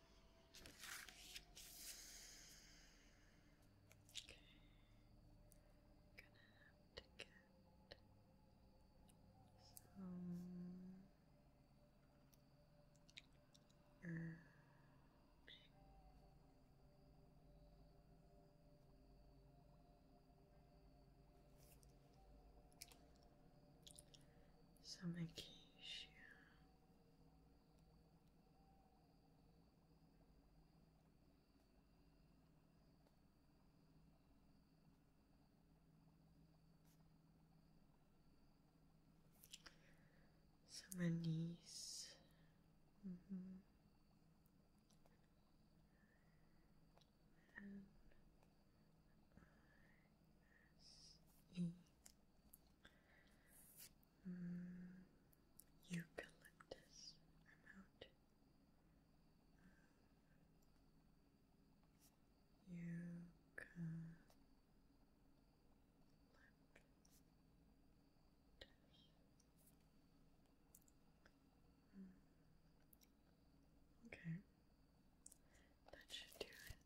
Okay. Gonna have to get some herbs. Some acacia. So my -hmm. N -I -S -E mm, eucalyptus amount of eucalyptus. Mm, okay, that should do it.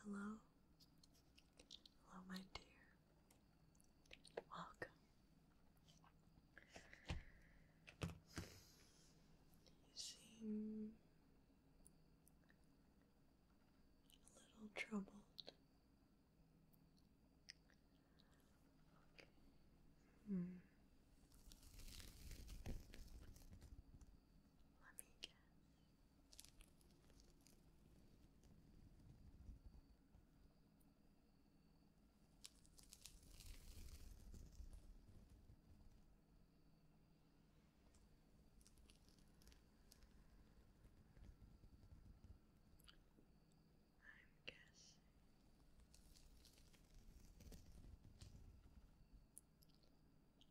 Hello, hello, my dear. Welcome. You seem a little troubled. Hmm. Let me guess. I'm guessing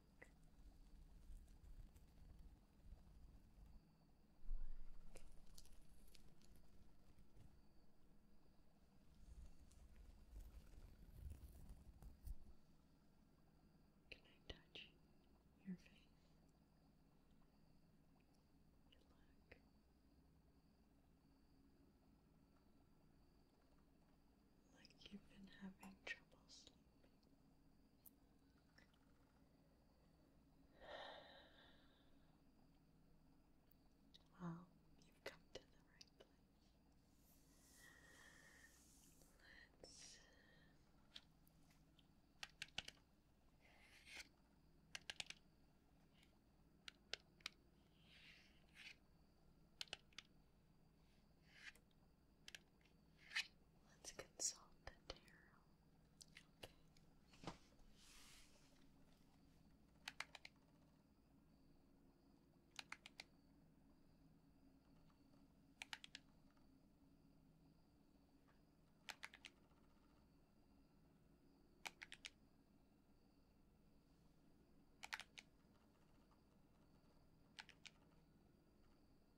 Can I touch your face? You look like you've been having trouble sleeping. Well, you've come to the right place. Let's Let's consult the tarot. Okay.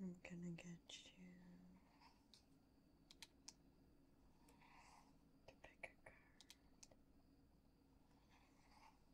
I'm gonna get you to pick a card.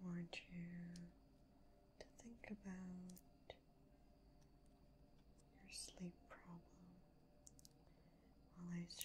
I want you to think about your sleep problem while I shuffle.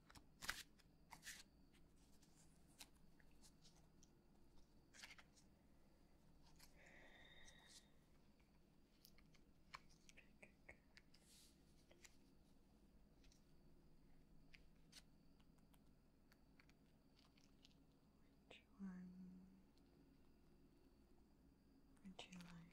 Which one would you like?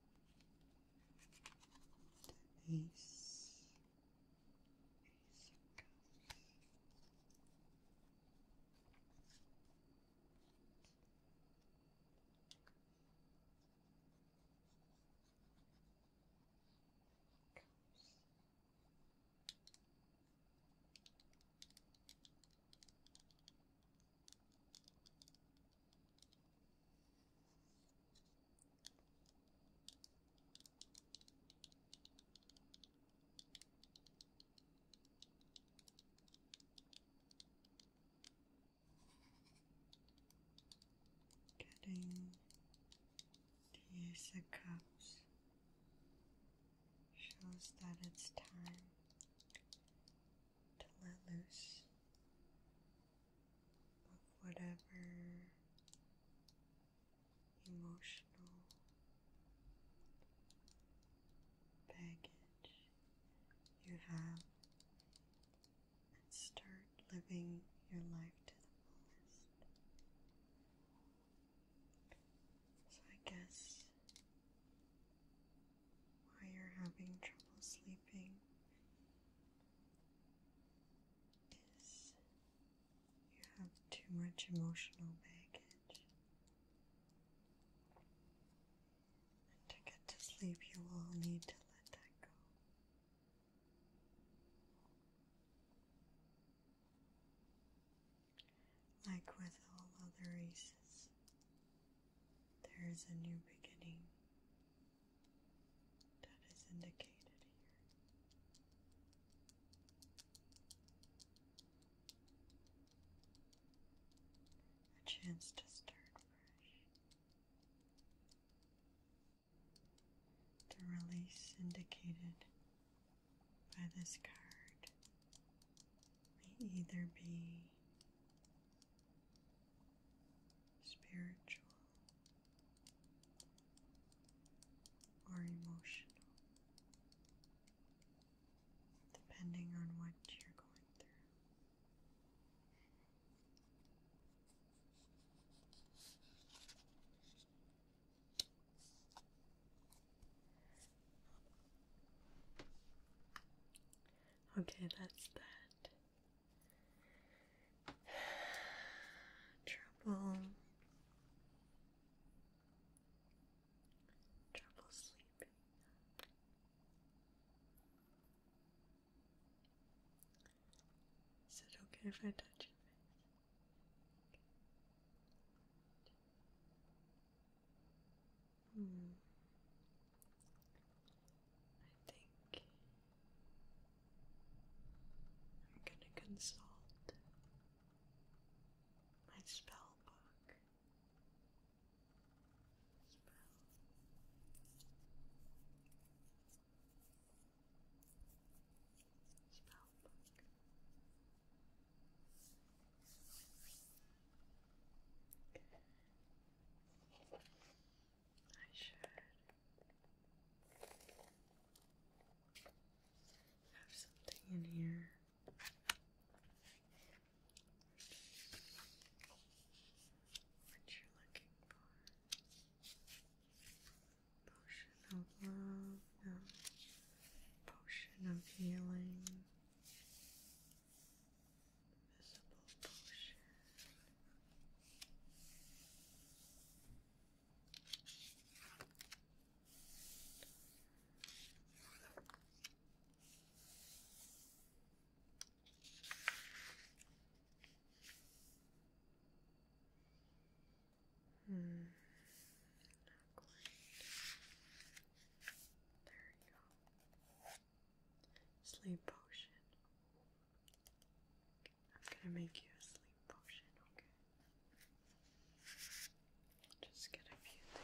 Ace, Ace of Cups, Getting the Cups shows that it's time to let loose but whatever emotional baggage you have, and start living your life to the fullest. So, I guess why you're having trouble sleeping is you have too much emotional baggage. And to get to sleep, you will need to let that go. Like with all other races, there is a new beginning that is indicated here. A chance to start fresh, the release indicated by this card may either be spiritual, or emotional, depending on what you're going through. Okay, that's that. Trouble. Trouble sleeping. Is it okay if I touch your I think I'm gonna consult my spell book. Spell. Spell book. I should have something in here. What you're looking for? Potion of love, Potion of healing. Invisible Hmm. There you go. Sleep potion. I'm gonna make you a sleep potion, okay? Just get a few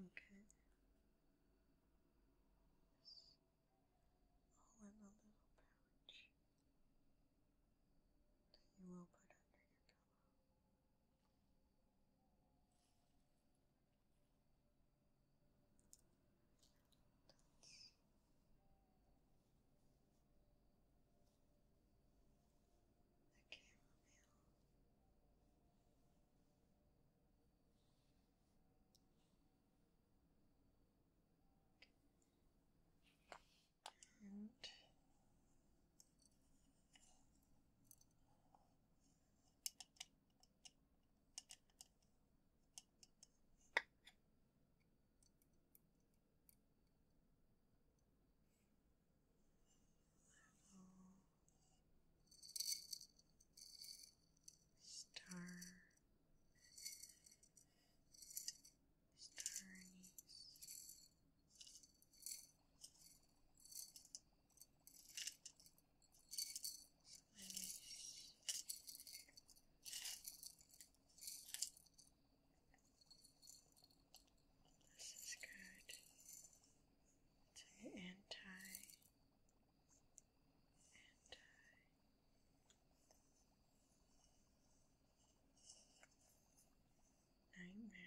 Okay. Just in a little pouch that you will put under your pillow. The chamomile. And Star Star anise. This is good. It's an anti anti nightmare.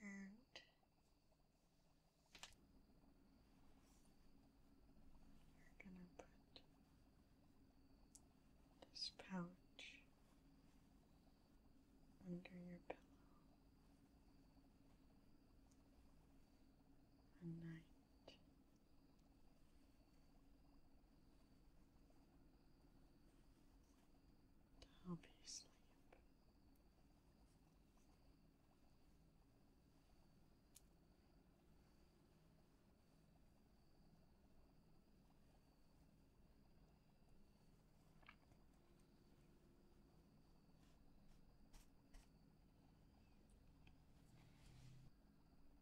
And you are gonna put this pouch under your pillow a night I'll be asleep.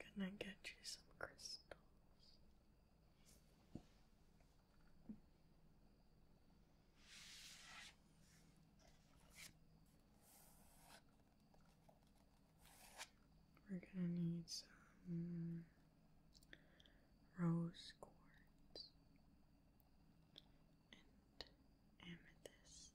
I'm gonna get you some crystals. We're gonna need some rose quartz and amethyst.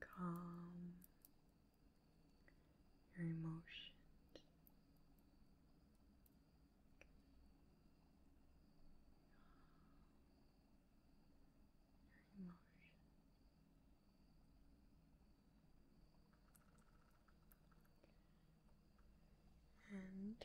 Calm your emotions. Your emotions. And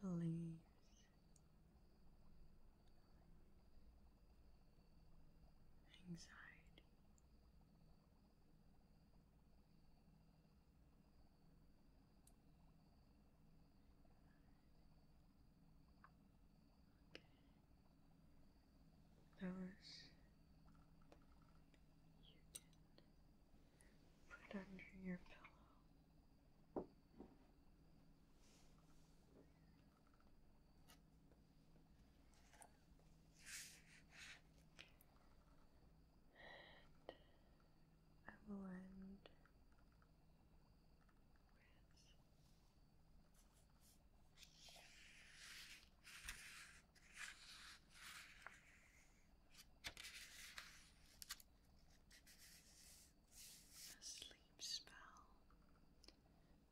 relieves anxiety those you put under your pillow. And I will end with a sleep spell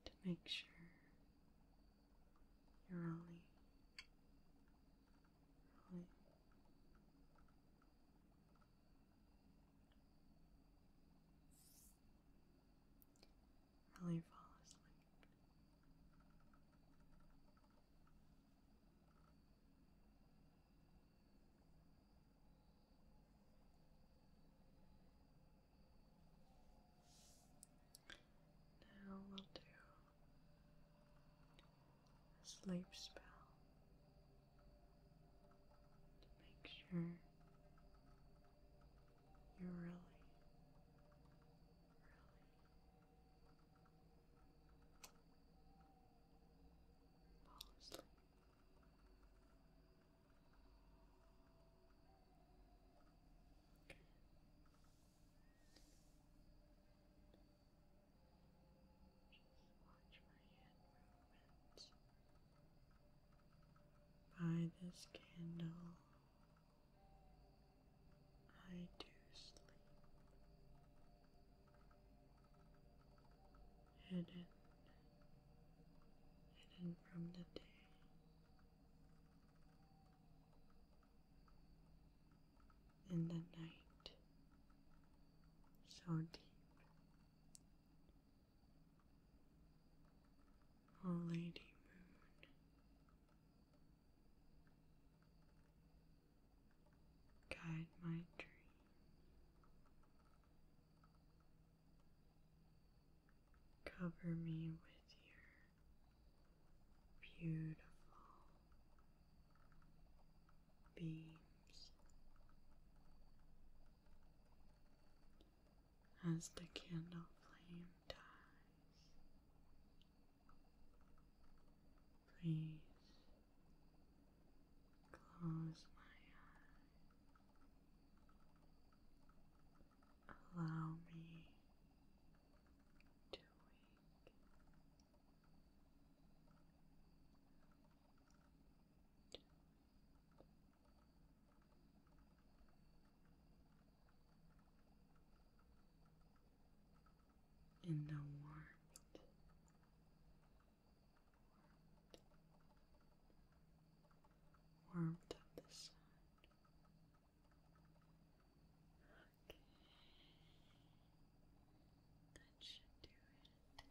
to make sure you're only really really Now we'll do a sleep spell to make sure you're really, really fall Just watch my hand movements. By this candle, I do sleep. Hidden, hidden from the day. In the night, so deep, O Lady Moon, guide my dream. Cover me with your beautiful beams as the candle flame dies. Please close my eyes. Allow me to wake in the warmth warmth of the sun okay that should do it sweet